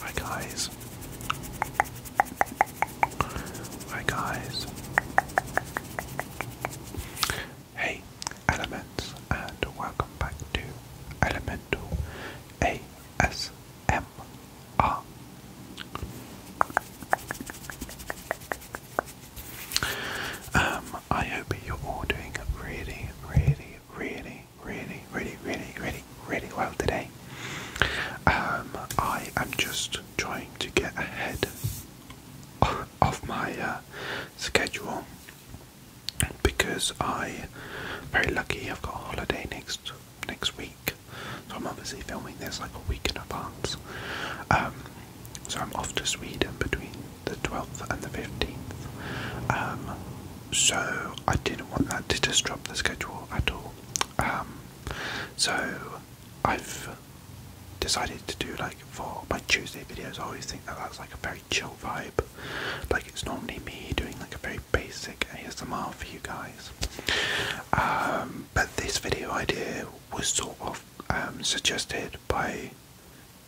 Hi guys. Hi guys. Hey elements and welcome back to Elemental ASMR. Um, I hope you're all doing really, really, really really, really, really, really, really, well today. Um, I am just trying to get ahead of my uh, schedule because I very lucky I've got a holiday next next week. So I'm obviously filming this like a week in advance. Um, so I'm off to Sweden between the 12th and the 15th. Um, so I didn't want that to disrupt the schedule at all. Um, so I've decided to do like for my Tuesday videos. I always think that that's like a very chill vibe. Like it's normally me doing like a very basic ASMR for you guys. Um, but this video idea was sort of suggested by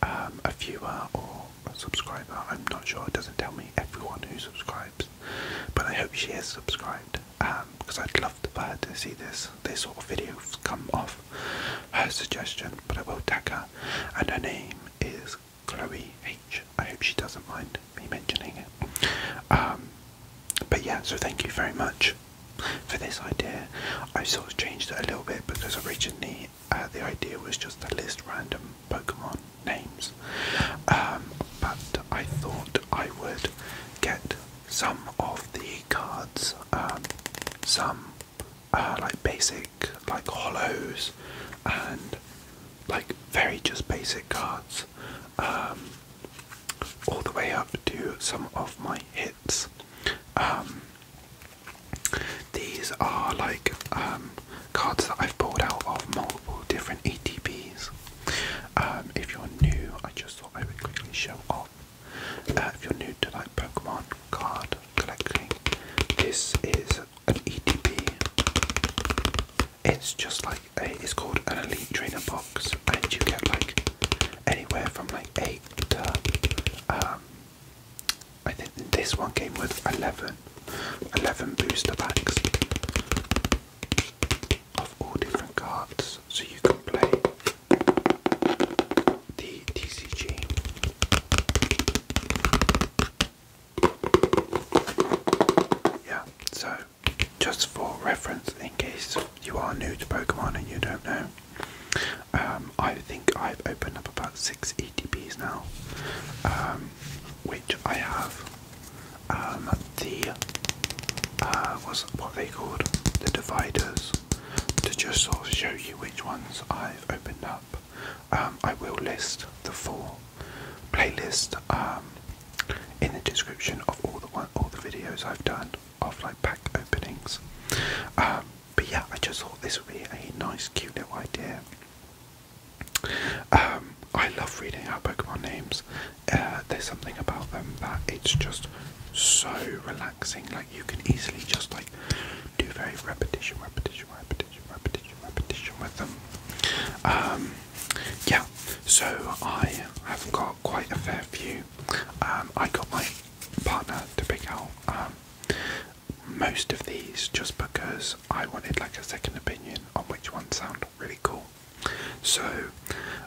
um, a viewer or a subscriber. I'm not sure. It doesn't tell me everyone who subscribes, but I hope she has subscribed because um, I'd love for her to see this this sort of video come off her suggestion. But I will tag her, and her name is Chloe H. I hope she doesn't mind me mentioning it. Um, but yeah, so thank you very much for this idea. I sort of changed it a little bit because originally uh, the idea was just to list random Pokemon names, um, but I thought I would get some of the cards, um, some uh, like basic, like hollows, and like very just basic cards, um, all the way up to some of my hits. These are like um, cards that I've pulled out of multiple different ETPs. Um, if you're new, I just thought I would quickly show off. Uh, if you're new to like Pokemon card collecting, this is an ETP. It's just like a, it's called an Elite Trainer Box, and you get like anywhere from like eight to um, I think this one came with 11, booster packs of all different cards, so you can play the TCG. Yeah, so just for reference, in case you are new to Pokemon and you don't know, um, I think I've opened up about six DTPs now, um, which I have. Um, the uh, what they called the dividers to just sort of show you which ones I've opened up. Um, I will list the four playlist in the description of all the all the videos I've done of like pack openings. but yeah, I just thought this would be a nice, cute little idea. Um, I love reading out Pokemon names. Uh, there's something about them that it's just so relaxing. Like you can easily just like do very repetition, repetition, repetition, repetition, repetition with them. Um, yeah. So I have got quite a fair few. Um, I got my partner to pick out most of these just because I wanted like a second opinion on which ones sound really cool. So,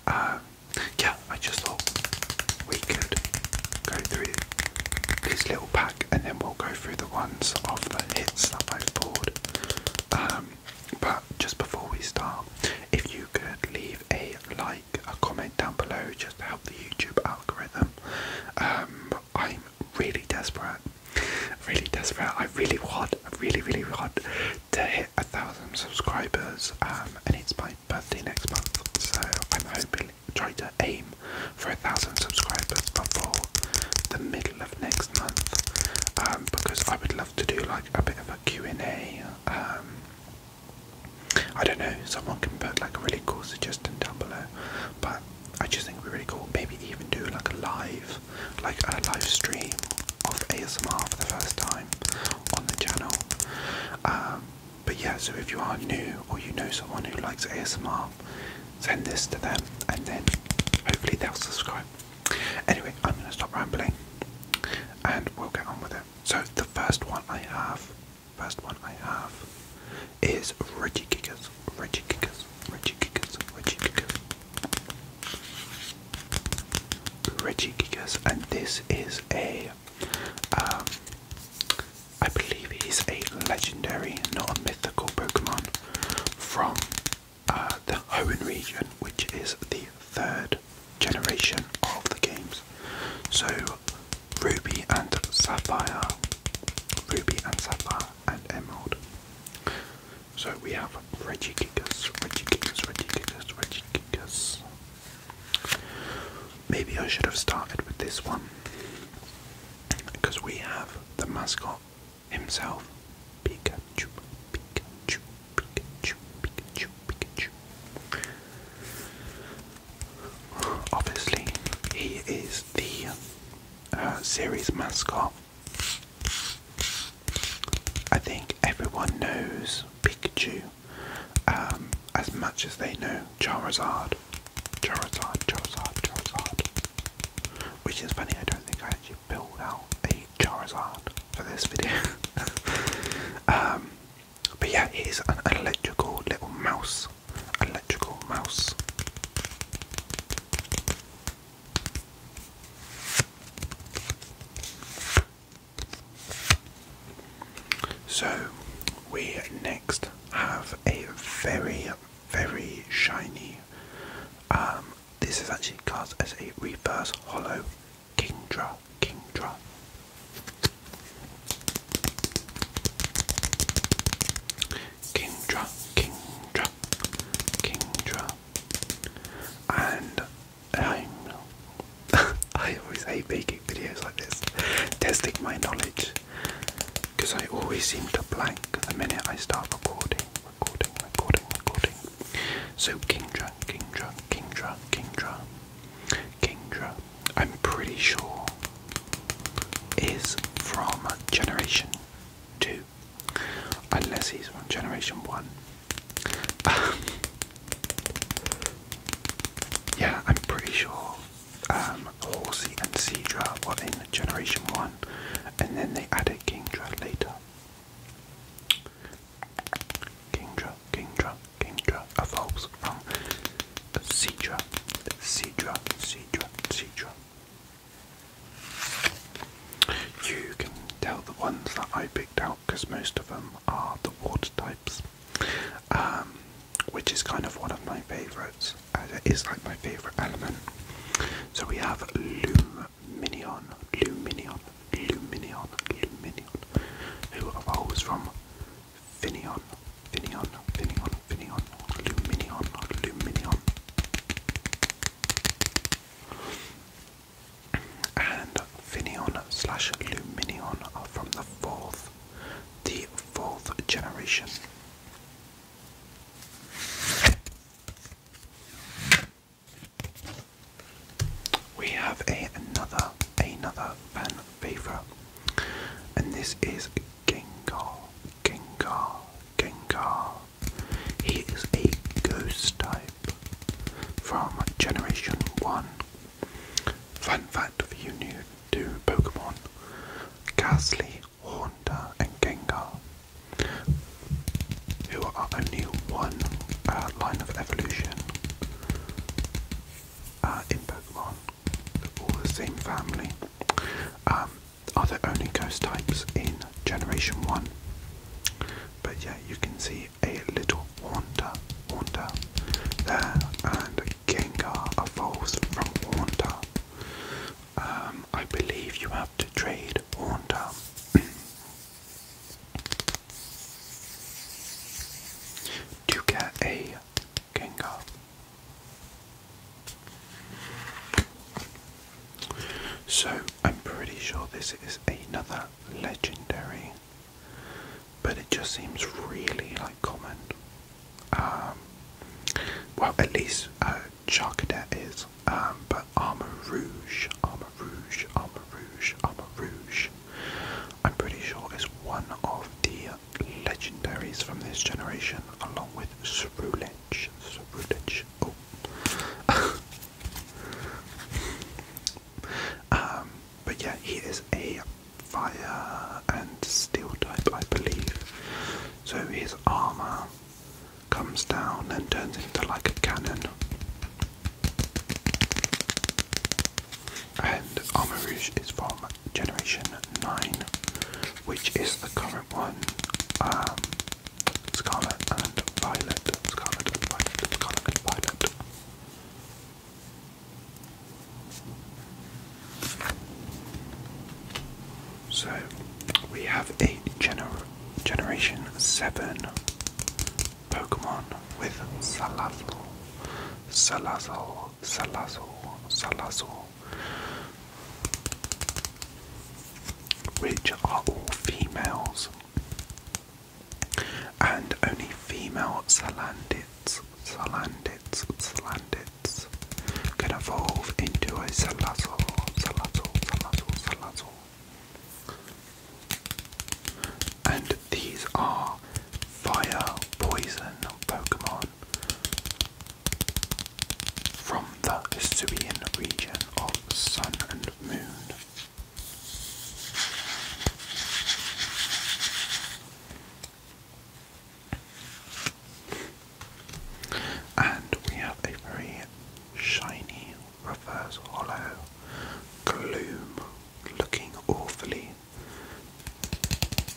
uh, yeah, I just thought we could go through this little pack and then we'll go through the ones of the hits that I've bought. Um, but just before we start, if you could leave a like, a comment down below just to help the YouTube algorithm. Um, I'm really desperate. Really desperate. I really want, really, really want to hit a thousand subscribers. Um, and it's my birthday next month, so I'm hoping try to aim for a thousand subscribers before the middle of next month. Um, because I would love to do like a bit of a Q&A. Um, I don't know, someone can put like a really cool suggestion down below, but I just think we would really cool. Maybe even do like a live, like a live stream of ASMR for the first time on the channel. Um, but yeah, so if you are new or you know someone who likes ASMR, send this to them and then hopefully they'll subscribe. Anyway, I'm going to stop rambling and we'll get on with it. So the first one I have, first one I have is Reggie Kickers. Reggie Kickers. Reggie Kickers. Reggie Kickers. Reggie Kickers, and this is a, um, I believe he's a legendary, not a mythical Pokemon from uh, the Hoenn region, which is the third generation of the games. So, Ruby and Sapphire, Ruby and Sapphire and Emerald. So we have Reggie Kickers, Reggie Kickers, Reggie Kickers, Reggie Kickers. Maybe I should have started with this one because we have the mascot himself, Pikachu, Pikachu, Pikachu, Pikachu, Pikachu. Obviously, he is the uh, series mascot. I think everyone knows Pikachu um, as much as they know Charizard. Charizard, Charizard, Charizard. Which is funny, I don't think I actually built out a Charizard for this video. Um, but yeah, it is an electrical little mouse electrical mouse. So we next have a very, very shiny. Um, this is actually called as a reverse hollow Kingdra. Kingdra. Kingdra, Kingdra, Kingdra, and I'm I always hate making videos like this, testing my knowledge, because I always seem to blank the minute I start recording, recording, recording, recording. So Kingdra, Kingdra, Kingdra, Kingdra, Kingdra. I'm pretty sure is from Generation 2, unless he's from Generation 1. yeah, I'm pretty sure um, Horsey and Seedra were in Generation 1, and then they added Kingdra later. Kingdra, Kingdra, Kingdra evolves from Seedra, Seedra, Seedra, Seedra, you can tell the ones that I picked out because most of them are the water types, um, which is kind of one of my favourites. It uh, is like my favourite element. So we have Luminion, Luminion, Luminion, Luminion, who evolves from Finion, Finion, Finion, Luminion, Luminion, Luminion. And Finion slash Luminion are from the fourth, the fourth generation. We have a, another another fan favorite, and this is Gengar, Gengar, Gengar. He is a ghost type from Generation 1. Fun fact for you new to Pokemon Ghastly, Haunter, and Gengar, who are only one uh, line of evolution uh, in Pokemon. They're all the same family. Um, are the only ghost types in Generation 1. But yeah, you can see a little Haunter, Haunter there, and Gengar evolves from Haunter. Um, I believe you have to trade Haunter. to get a Gengar. So I'm pretty sure this is another legendary, but it just seems really like common. Um, well, at least uh, Charcadet is, um, but Armor Rouge, Armor Rouge, Armor Rouge, Armor Rouge. I'm pretty sure is one of the legendaries from this generation, along with Cerulean tension, super Oh. um, but yeah, he is a fire and steel type, I believe. So his armor comes down and turns into like a cannon. And Armor Rouge is from Generation 9, which is the current one. Um, Scarlet and Violet. Scarlet and Violet. Scarlet and Violet. So we have a gener Generation 7 Pokemon with Salazar, Salazar, Salazar, Salazar, which are all females, and only female Salandids, Salandids, Salandids can evolve into a Salazzle, Salazzle, Salazzle, Salazzle. And these are fire poison Pokemon from the Hisuian region of Sun and Moon. And we have a very shiny reverse hollow gloom looking awfully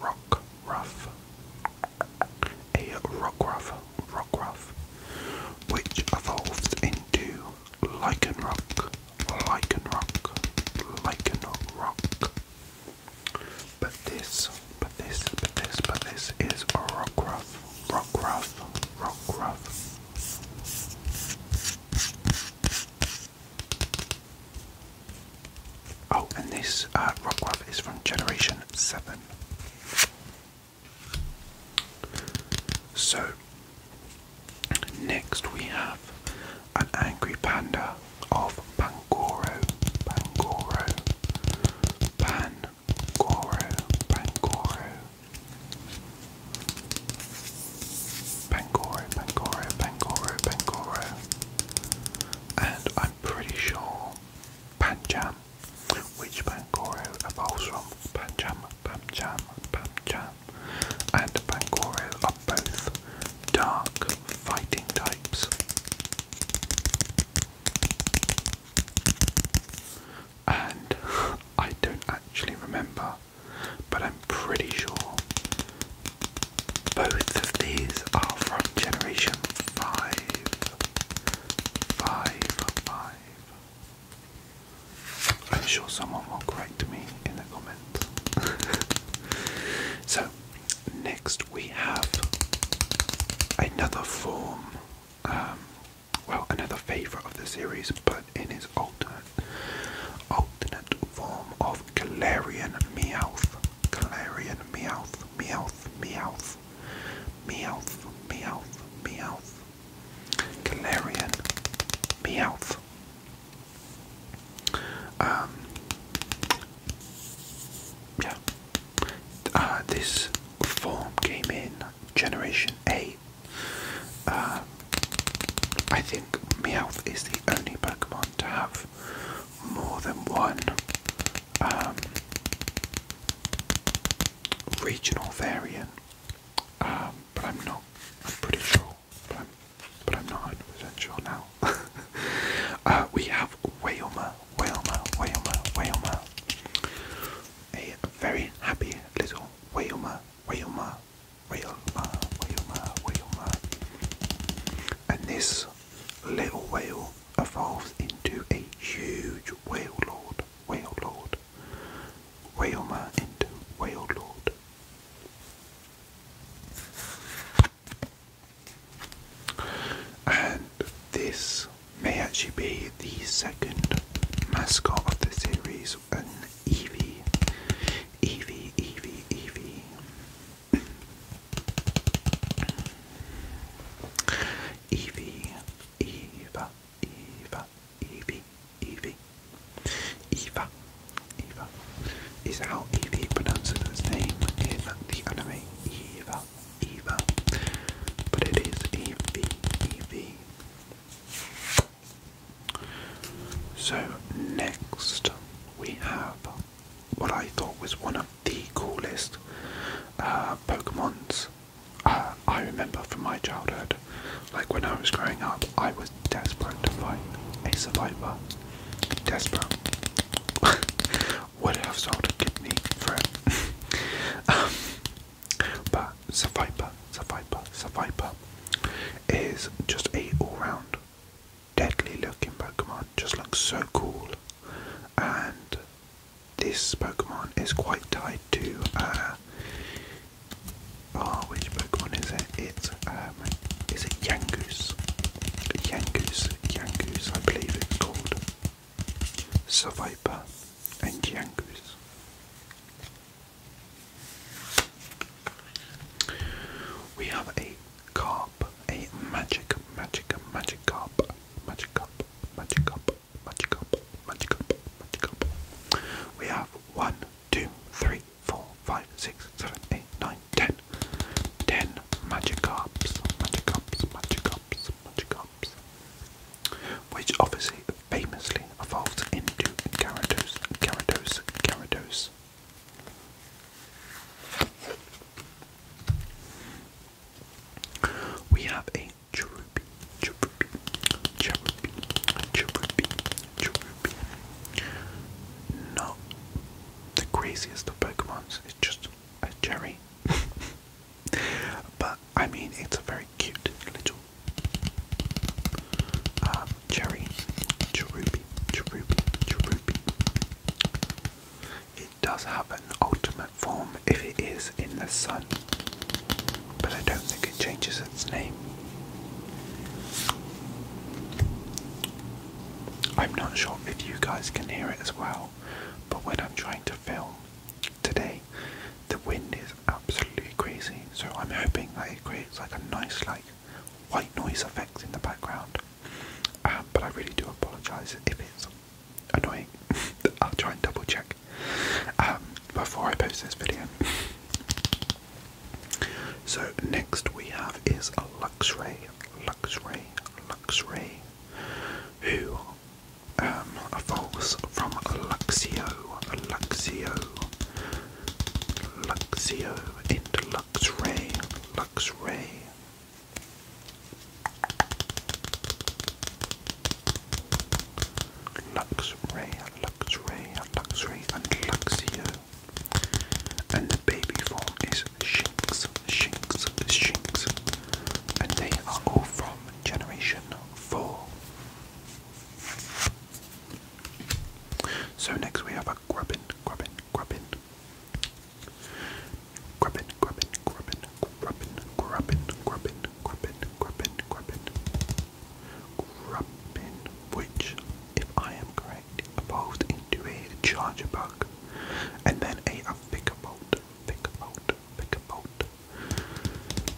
ruff, rock ruff. A rock ruff, rock ruff, which evolves into lichen rock, lichen rock, lichen rock. But this, but this, but this, but this is a rock ruff, rock ruff, rock ruff. Oh, and this uh, rock glove is from Generation 7. So, next we have an angry panda of Pangoro, Pangoro, Pangoro, Pangoro, Pangoro, Pangoro, Pangoro, Pangoro, and I'm pretty sure Panjam, which Pangoro evolves from Panjam, Panjam, Panjam, and Pangoro are both dark fighting types. And I don't actually remember, but I'm pretty sure both of these are from Generation 5. 5. 5. I'm sure someone will correct me in the comments. so, next we have another form, um, well, another favourite of the series, but in his alternate, alternate form of Galarian Meowth. Galarian Meowth, Meowth, Meowth, Meowth, Meowth, Meowth, Galarian Meowth. Um, yeah. Uh, this form came in Generation 8. Uh, I think Meowth is the only Pokemon to have more than one um, regional variant, um, but I'm not. I'm pretty sure, but I'm, but I'm not 100 sure now. Uh, we have Wailma, Wailma, Wailma, Wailma. A very happy little Wailma, Wailma, Wailma, Wailma, Wailma. And this Little Whale evolves into a huge whale lord, whale lord, whaleman into whale lord. And this may actually be the second mascot of the series, an Eevee. Eevee, Eevee, Eevee. Evie, Eva, Eva, Evie, Evie, Eva, Eva is how Evie pronounces his name in the anime Eva, Eva, but it is Evie, Evie. So next we have what I thought was one of the coolest uh, Pokemons uh, I remember from my childhood. Like when I was growing up, I was desperate to find a survivor. Desperate. What have sold to kidney me it. um, but survivor, survivor, survivor is just a all-round deadly looking Pokemon, just looks so cool. And this Pokemon is quite tied to. Uh, oh, which Pokemon is it? It's um, is it Yangoose? Yangoose, Yangoose, I believe it's called. Survivor and Yangoose. We have a carp, a magic, magic, magic carp, magic carp, magic carp, magic carp, magic carp, magic carp. We have one, two, three, four, five, six, seven, eight, nine, ten. Ten magic carps, magic carps, magic carps, magic carps. Which obviously famously evolved into Gyarados, Gyarados, Gyarados, we have a Cherubi, Cherubi, Cherubi, Cherubi, Cherubi. Not the craziest of Pokemons, it's just a cherry. but I mean, it's a very cute little um, cherry, Cherubi, Cherubi, Cherubi it does have an ultimate form if it is in the sun, but I don't think it changes its name. I'm not sure if you guys can hear it as well, but when I'm trying to film today, the wind is absolutely crazy, so I'm hoping that it creates like a nice, like, white noise effect in the background. Uh, but I really do apologise if it's annoying. I'll try and double check um, before I post this video. So next we have is a Luxray, Luxray, Luxray, who um, evolves from Luxio, Luxio, Luxio into Luxray, Luxray, Luxray, Luxray, Luxray, and Luxio. And the baby form is Shinx, Shinx, Shinx. And they are all from Generation 4. So next we have a Grubbin, Grubbin, Grubbin. Grubbin, grubbin, grubbin, grubbin, grubbin, grubbin, grubbin, grubbin, grubbin. Grubbin, which, if I am correct, evolved into a charger bug, and then a, a bigger bolt, bigger bolt, bigger bolt.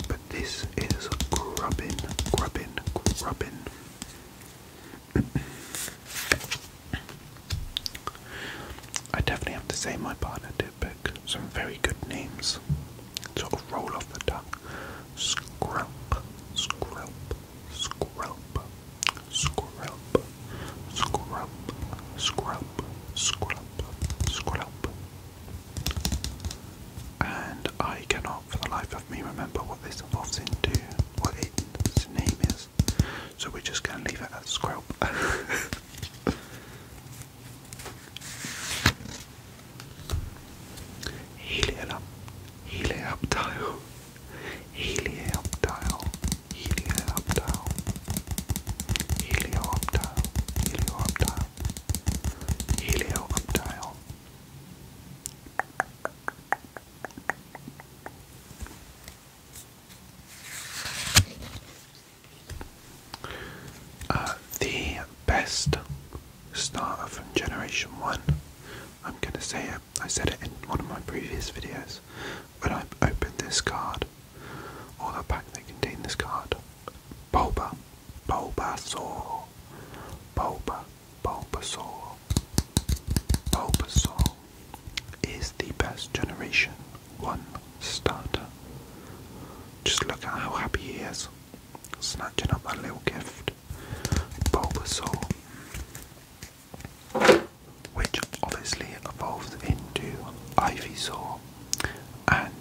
But this is grubbin, grubbin, grubbin. I definitely have to say my partner did pick some very good names. Sort of roll off the tongue. Scrap, scrap, scrap, scrap, scrap, scrap, scrap, scrap. And I cannot for the life of me remember what this evolves into, what its name is. So we're just going to leave it at square. Helioptile, helioptile, helioptile, helioptile, helioptile, helioptile, helioptile. Uh, the best starter from Generation 1, I'm going to say it, I said it in one of my previous videos, when I opened this card, or the pack that contained this card, Bulba, Bulbasaur, Bulba, Bulbasaur. Bulbasaur is the best generation one starter. Just look at how happy he is, snatching up that little gift. Bulbasaur, which obviously evolved into Ivysaur, and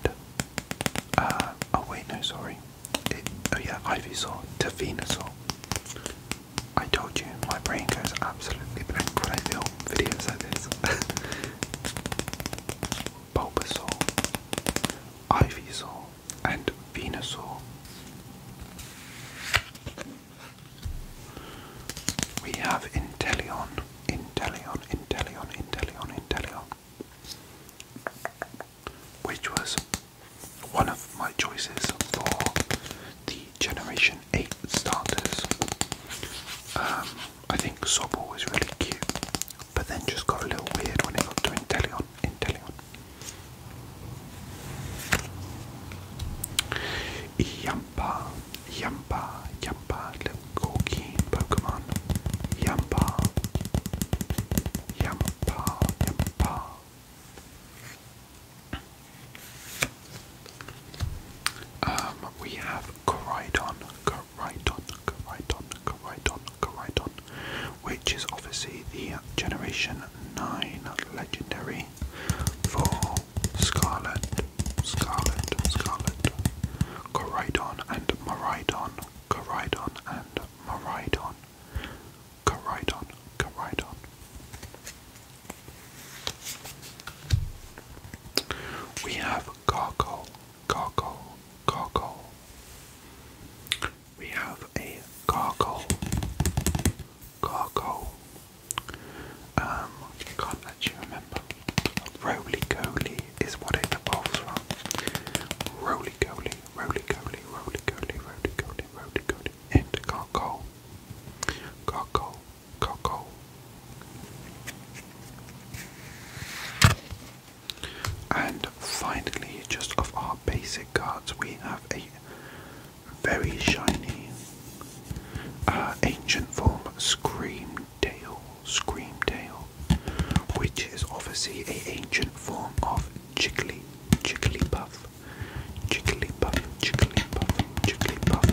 uh, oh wait, no, sorry, oh yeah, Ivysaur to I told you, my brain goes absolutely blank when I film videos like this. Bulbasaur, Ivysaur, and Venusaur. We have Inteleon, Inteleon, Inteleon, Inteleon, Inteleon. Which was one of my choices for the Generation 8 starters. Um, I think Sobble was really cute, but then just got a little weird when it got to Inteleon. Inteleon. Yampa, Yampa, Yampa, little corky Pokemon. Yampa, Yampa, Yampa. Um, we have Corydon, Corydon, Corydon, Corydon, Corydon, which is obviously the Generation 9 legendary for Scarlet, Scarlet, Scarlet, Corydon and Maridon, Corydon and Maridon, Corydon, Corydon. We have gargle, gargle, gargle. We have a gargle, gargle. Um, I can't actually remember. Roly Goly is what it evolves from. Roly Goly, Roly Goly, Roly Goly, Roly Goly, Roly Goly, and gargle, gargle, Coco. And finally, just of our basic cards, we have a very shiny uh, ancient form of Scream Tail, Scream Tail, which is obviously a ancient form of Jiggly, Puff. Jigglypuff, Jigglypuff, Jigglypuff,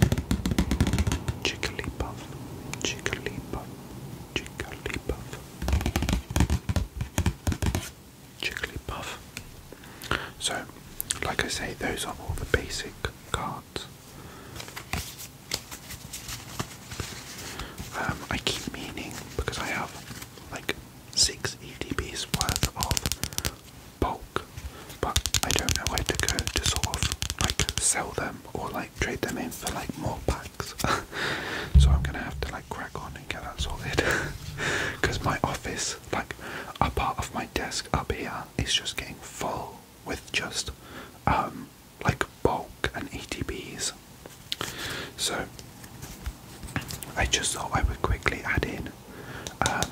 Jigglypuff, Jigglypuff, Jigglypuff, Jigglypuff. So, like I say, those are all the basic cards. Um, I keep meaning because I have like six EDBs worth of. Bowl but I don't know where to go to sort of like sell them or like trade them in for like more packs. so I'm gonna have to like crack on and get that sorted. Because my office, like a part of my desk up here, is just getting full with just um like bulk and ETBs. So I just thought I would quickly add in um,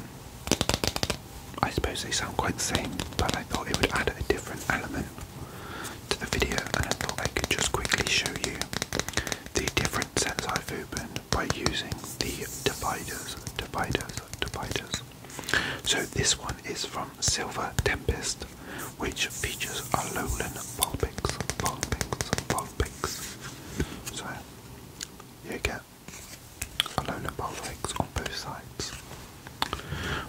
I suppose they sound quite the same, but I thought it would add a different element to the video, and I thought I could just quickly show you the different sets I've opened by using the dividers, dividers, dividers. So this one is from Silver Tempest, which features a lowland Vulpix, Vulpix, Vulpix. So you go. Colonel Pollex on both sides.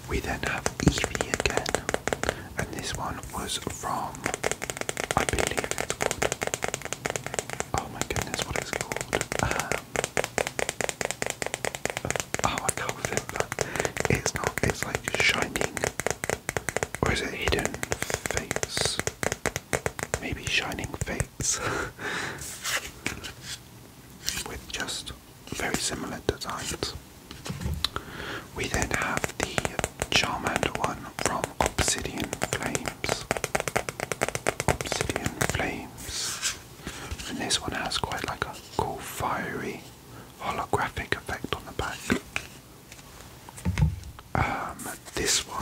We then have Evie again, and this one was from, I believe it's called, oh my goodness, what is called, um, oh I can't remember, it's not, it's like Shining, or is it Hidden Face, maybe Shining Fates, with just very similar designs. We then have the Charmander one from Obsidian Flames. Obsidian Flames. And this one has quite like a cool fiery holographic effect on the back. Um, this one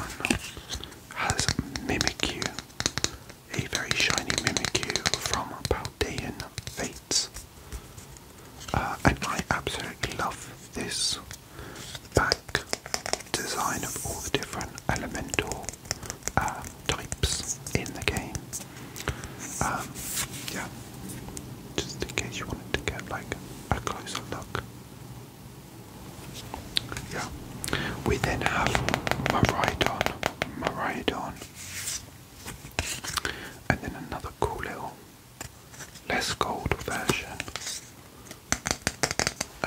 has Mimikyu a very shiny Mimikyu from Paldean Fates. Uh, and I absolutely love this back design of all the different elemental uh, types in the game. Um, yeah, just in case you wanted to get like a closer look yeah. We then have Maridon. Maridon. And then another cool little less gold version.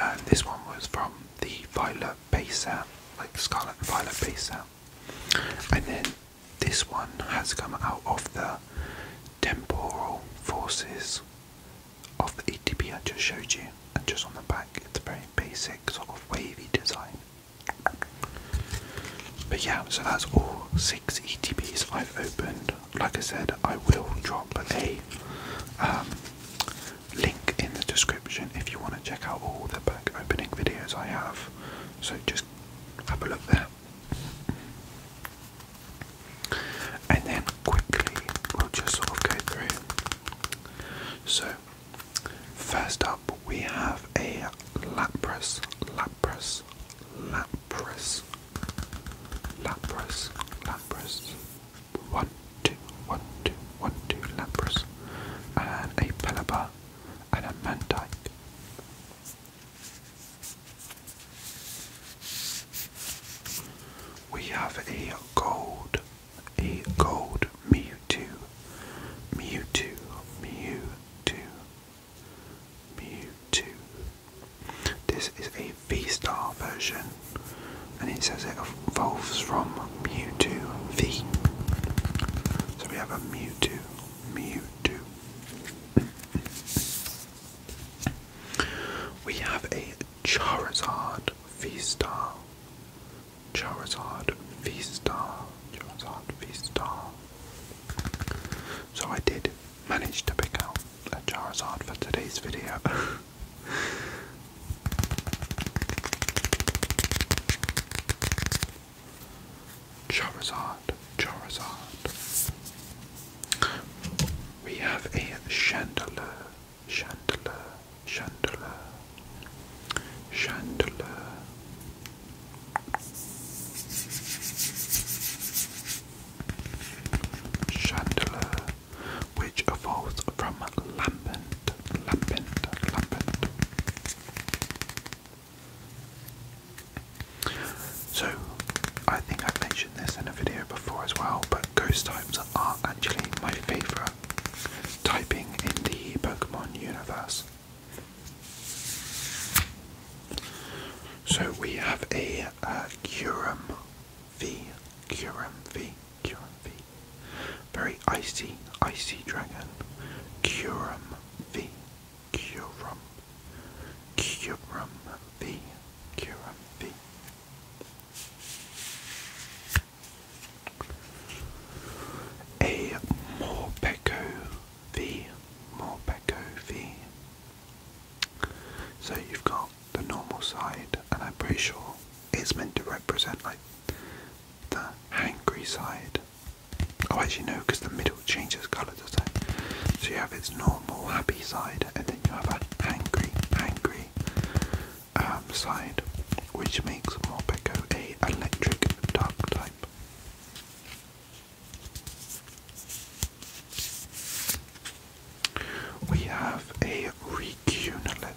And this one was from the Violet base set, like Scarlet and Violet base set. And then this one has come out of the Temporal Forces of the ETB I just showed you, and just on the back, it's a very basic sort of wavy design. But yeah, so that's all six ETBs I've opened. Like I said, I will drop a um, link in the description if you want to check out all the back opening videos I have. So just have a look there. And then quickly, we'll just sort of go through so, first up, we have a lapras, lapras, lapras, lapras, lapras. One, two, one, two, one, two, lapras, and a pelipper, and a mantike. We have a gold a gold Mewtwo, Mewtwo, Mewtwo, Mewtwo. This is a V-Star version, and it says it evolves from Mewtwo V. So we have a Mewtwo, Mewtwo. We have a Charizard V-Star Charizard V-Star. Charizard V-Star. So I did manage to pick out a Charizard for today's video. Charizard, Charizard. We have a chandelier, chandelier, chandelier, chandelier. Chandelier, which evolves from lambent, lambent, lambent. So, I think I've mentioned this in a video before as well, but ghost types are actually my favourite typing in the Pokemon universe. So we have a uh, Curum V, Curum V, Curum V. Very icy, icy dragon. Curum V, Curum, Curum V, Curum V. A Morpeko V. Morpeko V. So you've got the normal side, and I'm pretty sure it's meant to represent like the angry side. Oh, actually, no, because the middle changes colour, does it? So you have its normal happy side, and then you have an angry, angry. Um, side, which makes Morpeko a electric dark type. We have a Recunalis.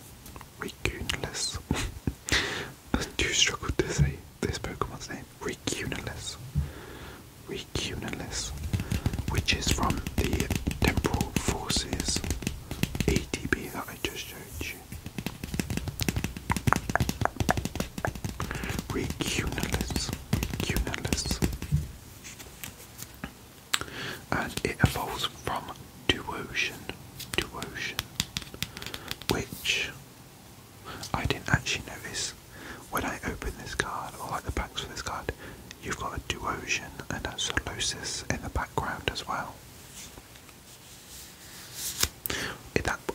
Recunalis. I do struggle to say this Pokemon's name. Recunalis. Recunalis. Which is from the Temporal Forces ATB uh, I just heard you. Recunalis. Recunalis. And it evolves from Duotion. Duotion. Which I didn't actually notice when I opened this card, or like the packs for this card, you've got a Duotion and a Solosis in the background as well.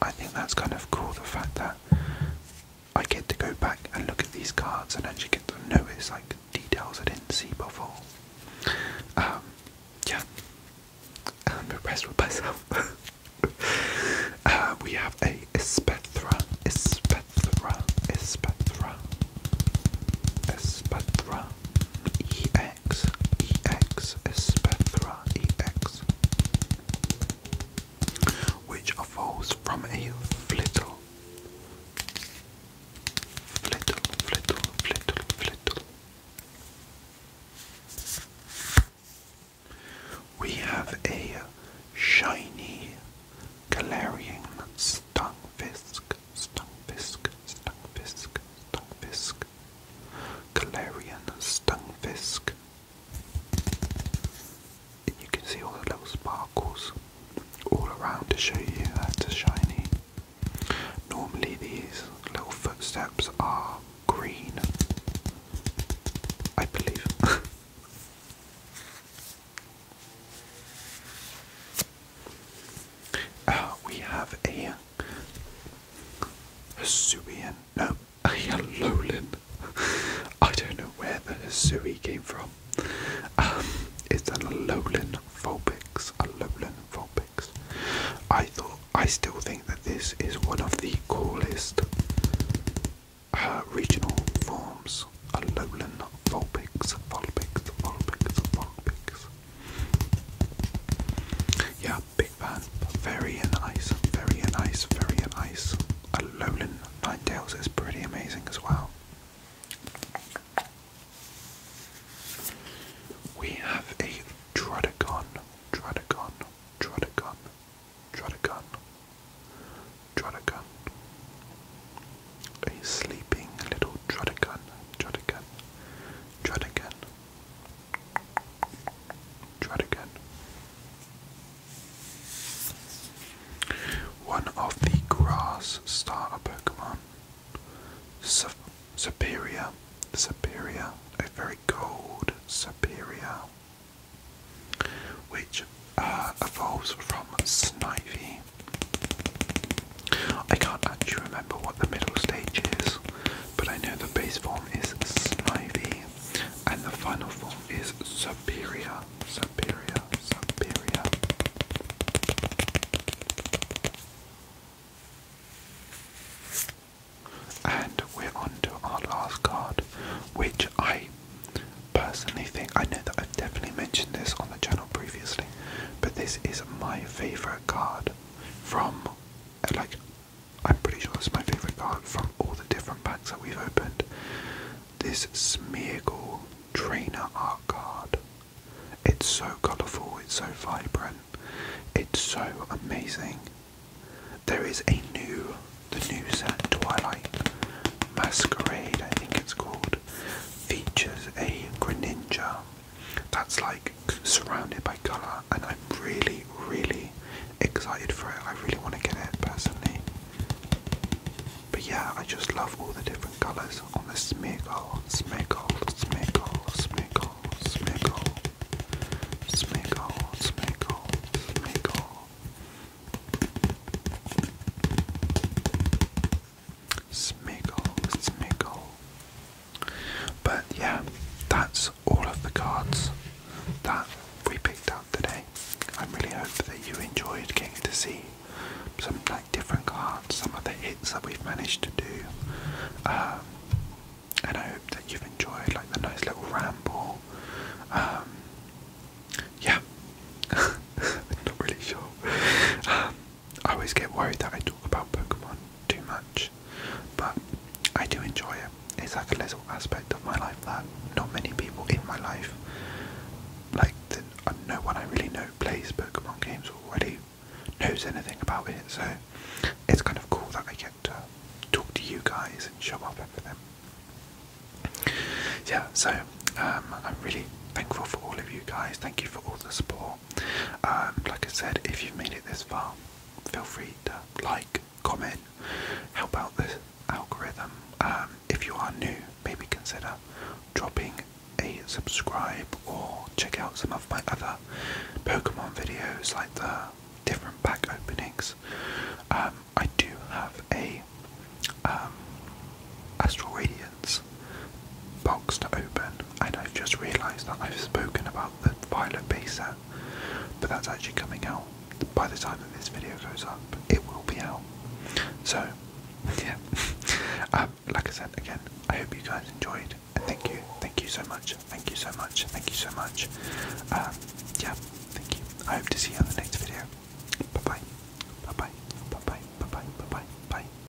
I think that's kind of cool, the fact that I get to go back and look at these cards and actually get to notice like details I didn't see before. Um, yeah, I'm impressed with myself. Uh, we have a Espethra, Espethra, Espethra, Espethra, EX, EX, Espethra EX, which evolves from a flittle. Flittle, flittle, flittle, flittle. We have a shiny Galarian stunfisk, stunfisk, stunfisk, stunfisk, Galarian stunfisk. And you can see all the little sparkles all around to show you that's a shiny. Normally these little footsteps are green, I believe. Uh, we have a Hisuian, no, a Yellowlin. I don't know where the Hisui came from. Um, it's a Lowland Vulpix, Alolan Vulpix. I thought, I still think that this is one of the coolest uh, regional forms, Lowland. Vulpix, Vulpix, Vulpix, Vulpix. Yeah, big fan. Very nice, very nice, very nice. A Lowland Ninetales is pretty amazing as well. We have a Troticon, Troticon, Troticon, Troticon, Troticon a sleeping little Drotagon, Drotagon, Drotagon, Drotagon. One of the grass starter Pokemon. Su superior, superior, a very cold superior, which uh, evolves from Snivy. I can't actually remember what the middle stage is, but I know the base form is Snivy and the final form is Superior, Superior, Superior. And we're on to our last card, which I personally think I know that I've definitely mentioned this on the channel previously but this is my favorite card from uh, like I'm pretty sure it's my favorite card from all the different packs that we've opened. This Smeargle Trainer Art card. It's so colourful, it's so vibrant, it's so amazing. There is a new, the new set Twilight Masquerade, I think it's called, features a Greninja that's like surrounded by colour, and I'm really, really excited for it. I really want to get it personally. But yeah, I just love all the different colours on the Smeagol, Smeagol, Smeagol, Smeagol, Smeagol, Smeagol, Smeagol, Smeagol. Smeagol, Smeagol. But yeah, that's all of the cards that we picked up today. I really hope that you enjoyed getting to see some like different cards, some of the hits that we've managed to do. Um, and I hope that you've enjoyed like the nice little ramble. Um, yeah, I'm not really sure. Um, I always get worried that I talk about Pokemon too much, but I do enjoy it. It's like a little aspect of my life that not many people in my life, like no one I really know plays Pokemon games already, knows anything about it. So it's kind of cool that I get to talk to you guys and show up for Yeah, so um, I'm really thankful for all of you guys. Thank you for all the support. Um, like I said, if you've made it this far, feel free to like, comment, help out this algorithm. Um, if you are new, maybe consider dropping a subscribe or check out some of my other Pokemon videos like the different pack openings. Um, I do have a Astral Radio Guardians box to open, and I've just realised that I've spoken about the Violet Base set, but that's actually coming out. By the time that this video goes up, it will be out. So, yeah. Um, like I said again, I hope you guys enjoyed, and thank you, thank you so much, thank you so much, thank you so much. Um, yeah, thank you. I hope to see you on the next video. Bye bye, bye bye, bye bye, bye bye, bye bye. bye.